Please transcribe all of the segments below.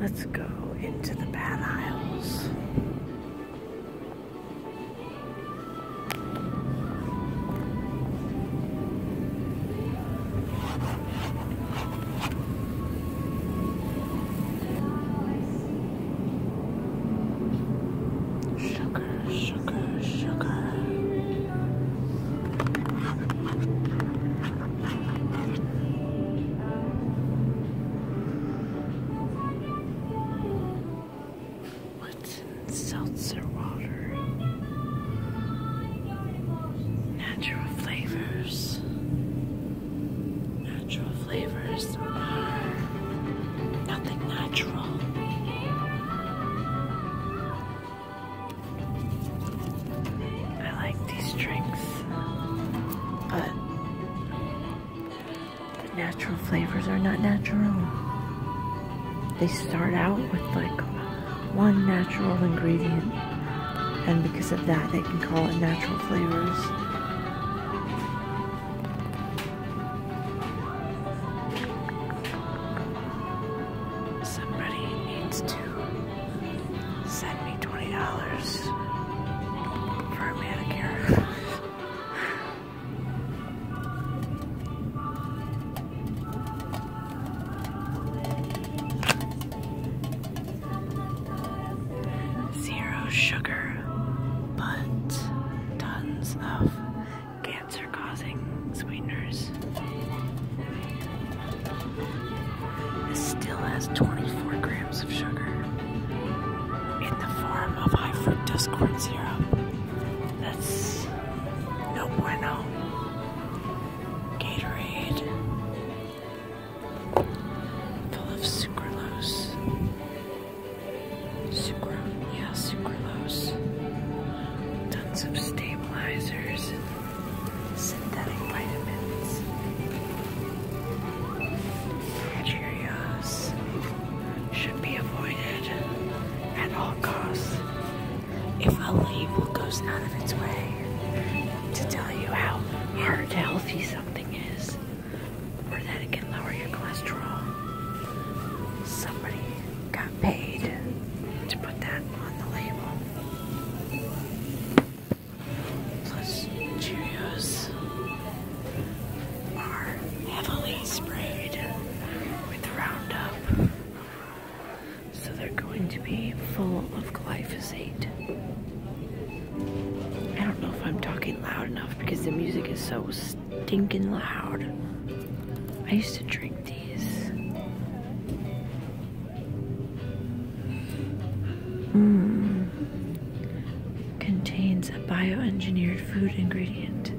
Let's go into the bad aisles. Sugar sugar, sugar, What's in seltzer water? Natural flavors. Natural flavors nothing natural. I like these drinks, but the natural flavors are not natural. They start out with like one natural ingredient, and because of that, they can call it natural flavors. Somebody needs to send me $20 for a manicure. Zero sugar, but tons of. Gas cancer causing sweeteners. This still has 24 grams of sugar in the form of high fructose corn syrup. That's no bueno. Gatorade full of sucralose. Sucrose, yeah, sucralose. Tons of stabilizers synthetic vitamins. Cheerios should be avoided at all costs. If a label goes out of its way to tell you how heart healthy something is, or that it can lower your cholesterol, somebody got paid to put that on the label. Plus, Cheerios are heavily sprayed with Roundup, so they're going to be full of glyphosate. I don't know if I'm talking loud enough because the music is so stinking loud. I used to drink these. Hmm. Contains a bioengineered food ingredient.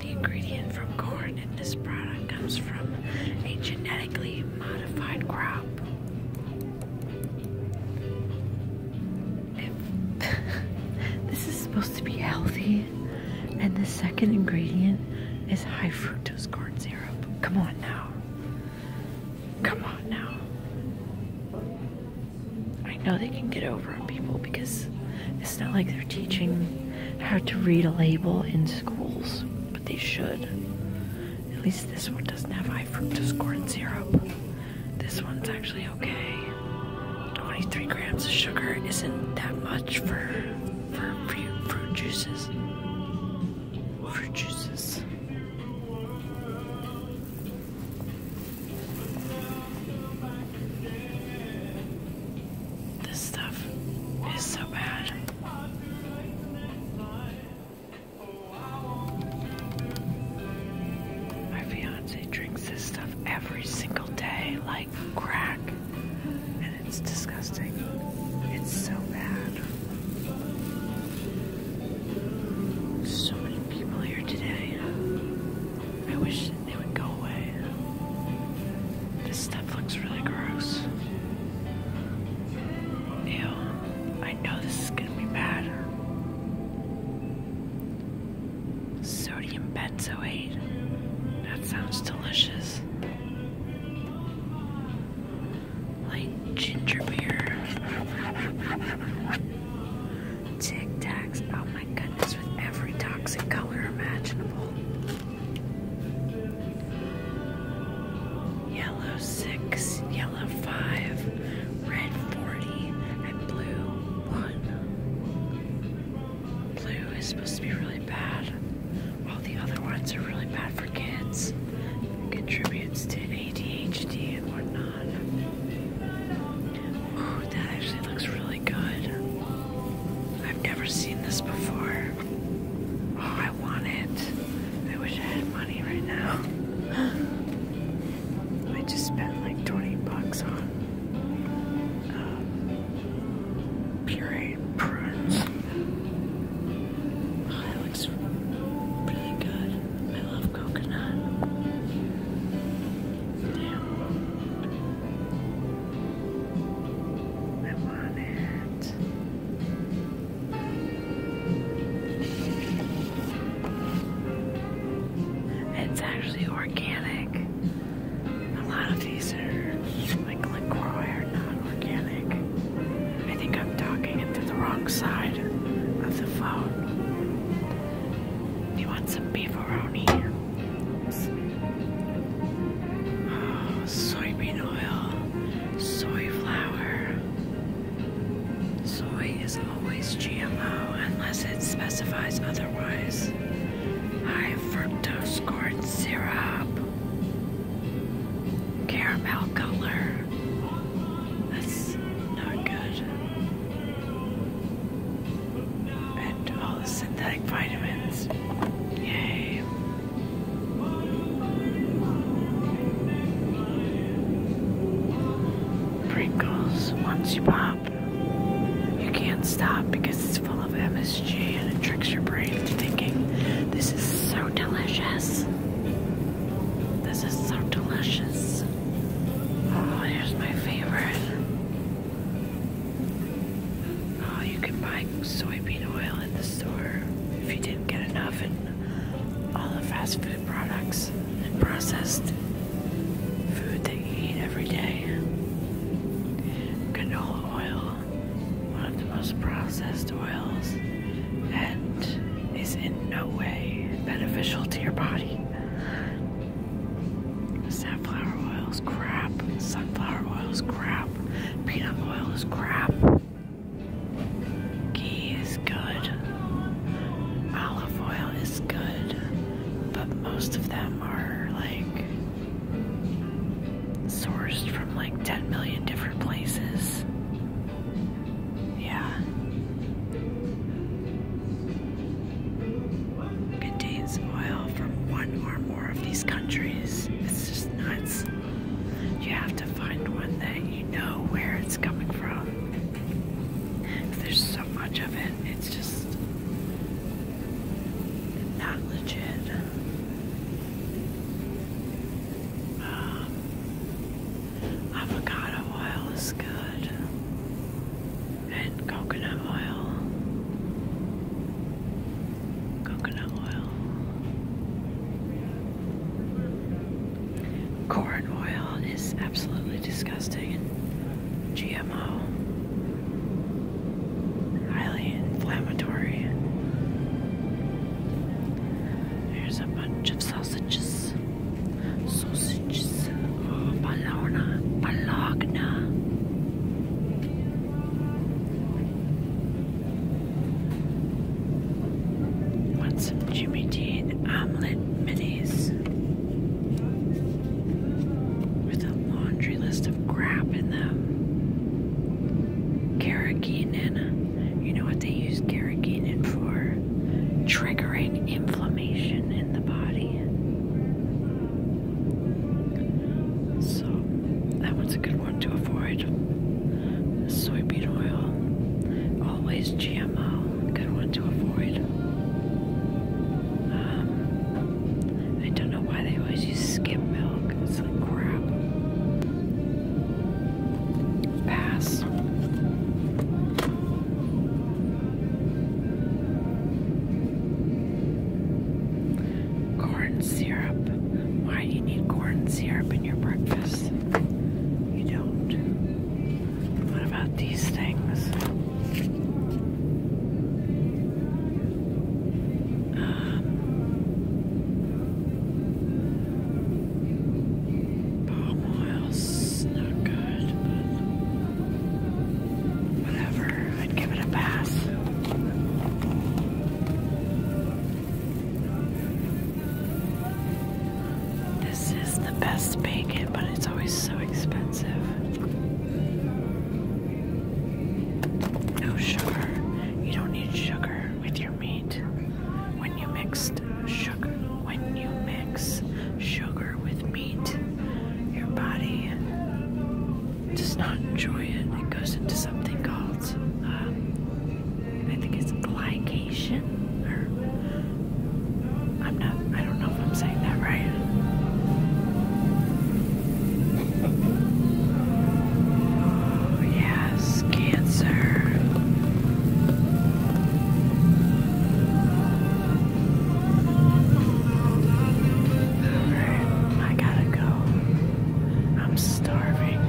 The ingredient from corn in this product comes from a genetically modified crop. this is supposed to be healthy. And the second ingredient is high fructose corn syrup. Come on now. Come on now. I know they can get over on people because it's not like they're teaching how to read a label in schools, but they should. At least this one doesn't have high fructose corn syrup. This one's actually okay. 23 grams of sugar isn't that much for for fruit, juices. Fruit juices. This stuff is so bad. My fiance drinks this stuff every single day, like crack, and it's disgusting. It's so bad. So many people here today. I wish they would go away. This stuff looks really gross. Ew, I know this is gonna be bad. Sodium benzoate. That sounds delicious. Like ginger beer. Tic Tacs. Oh my goodness, with every toxic color imaginable. Yellow 6, yellow 5, red 40, and blue 1. Blue is supposed to be really bad, while the other ones are really bad for kids. Contributes to ADHD and whatnot. Ooh, that actually looks really good. I've never seen this before. Oh, I want it. I wish I had money right now. I just spent like 20 bucks on um, pureed prunes. that looks really good. I love coconut. I want it. It's actually organic. A lot of these are like LaCroix not organic. I think I'm talking into the wrong side of the phone. You want some beefaroni? Oh, soybean oil, soy flour. Soy is always GMO unless it specifies otherwise is high fructose corn syrup, caramel color. That's not good. And all the synthetic vitamins. Yay. Pringles, once you pop, you can't stop because full of MSG and it tricks your brain into thinking this is so delicious. This is so delicious. Oh, here's my favorite. Oh, you can buy soybean oil at the store if you didn't get enough in all the fast food products and processed food that you eat every day. Canola oil one of the most processed oils and is in no way beneficial to your body. Safflower oil is crap, sunflower oil is crap, peanut oil is crap. Ghee is good, olive oil is good, but most of them are like sourced from like 10 million different places. Yeah. Contains oil from one or more of these countries. It's just nuts. You have to find one that you know where it's coming from. There's so much of it, it's just not legit. Um, avocado oil is good, and coconut oil. Coconut oil. Corn oil is absolutely disgusting and Highly inflammatory. There's a bunch of sausages. Sausages. Oh, Bologna. Bologna. Want some Jimmy Dean omelet minis? with a laundry list of crap in them. Carrageenan. You know what they use carrageenan for? Triggering inflammation in the body. So that one's a good one to avoid. Soybean oil. Always GMO. Good one to avoid. Um, I don't know why they always use skim milk. It's like crap. Pass. Corn syrup. Why do you need corn syrup in your breakfast? You don't. What about these things? Um, palm not good, but whatever. I'd give it a pass. This is the best bacon, but it's always so expensive. No sugar. You don't need sugar with your meat. When you mixed sugar, when you mix sugar with meat, your body does not enjoy it. It goes into something called, um, I think it's glycation, or I'm not. I don't know if I'm saying that right. Oh, yes, Cancer. Alright, I gotta go. I'm starving.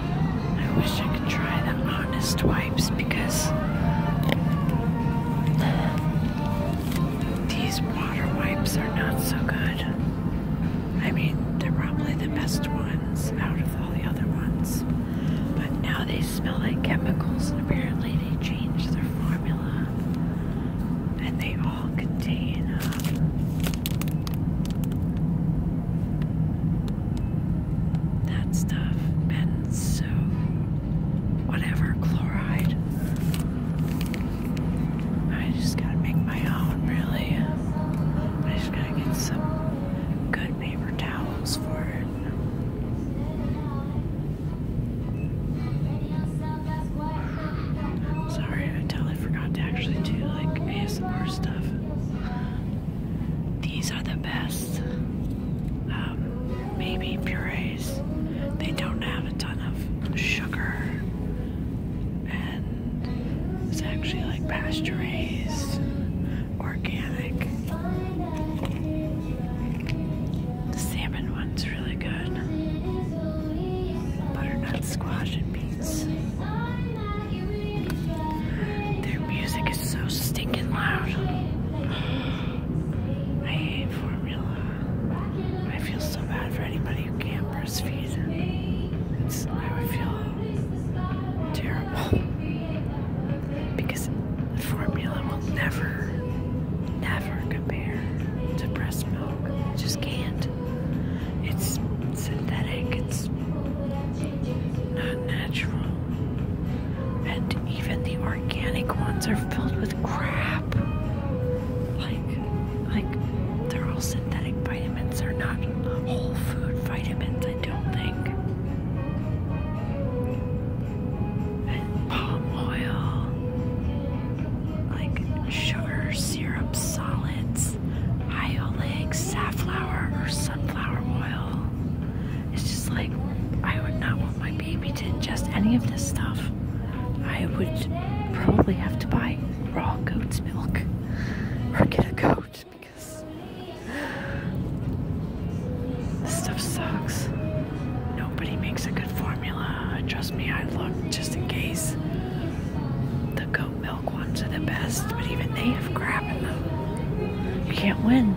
I wish I could try the honest wipes because these water wipes are not so good. I mean, they're probably the best ones out of all the other ones, but now they smell like chemicals, and apparently they changed their formula, and they all contain. Um, that stuff, benzo, whatever, chloride. I just gotta make my own, really. I just gotta get some good paper towels for it. Sorry, I totally forgot to actually do like ASMR stuff. These are the best, um, maybe purees. They don't have a ton of sugar, and it's actually like pasture raised, organic. The salmon one's really good. Butternut squash and beans. Their music is so stinking loud. I hate formula. I feel so bad for anybody who can't breastfeed. It's, I would feel terrible. Because formula will never, never compare to breast milk. It just can't. It's synthetic. It's not natural. And even the organic ones are filled with crap. Like, like they're all synthetic vitamins. They're not whole food vitamins. I don't think. And palm oil, like sugar syrup solids is safflower or sunflower oil. It's just like I would not want my baby to ingest any of this stuff. I would probably have to buy raw goat's milk or get a goat because this stuff sucks. Nobody makes a good formula. Trust me, I look just in case. The goat milk ones are the best, but even they have crap in them. You can't win.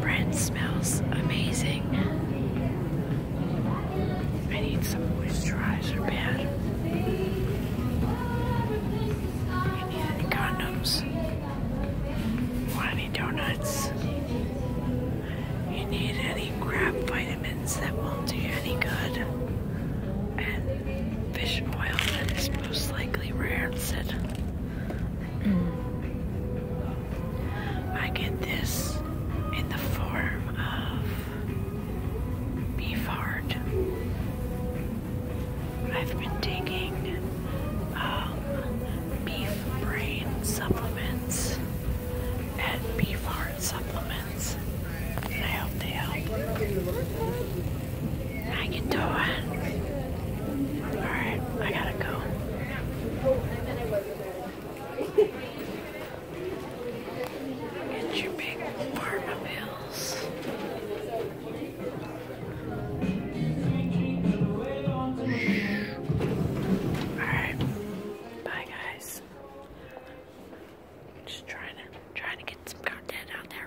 Brand smells amazing. I need some moisturizer bad. You need any condoms? Want any donuts? You need any crap vitamins that won't do you any good? And fish oil that is most likely rancid. Mm. I get this in the form of beef heart. I've been taking um, beef brain supplements and beef heart supplements, I hope they help. I can do it. Alright, I gotta go. Get your big pharma Alright. Bye guys. Just trying to trying to get some content out there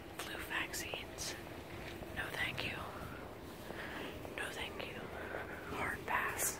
flu vaccines. No thank you. No thank you. Hard pass.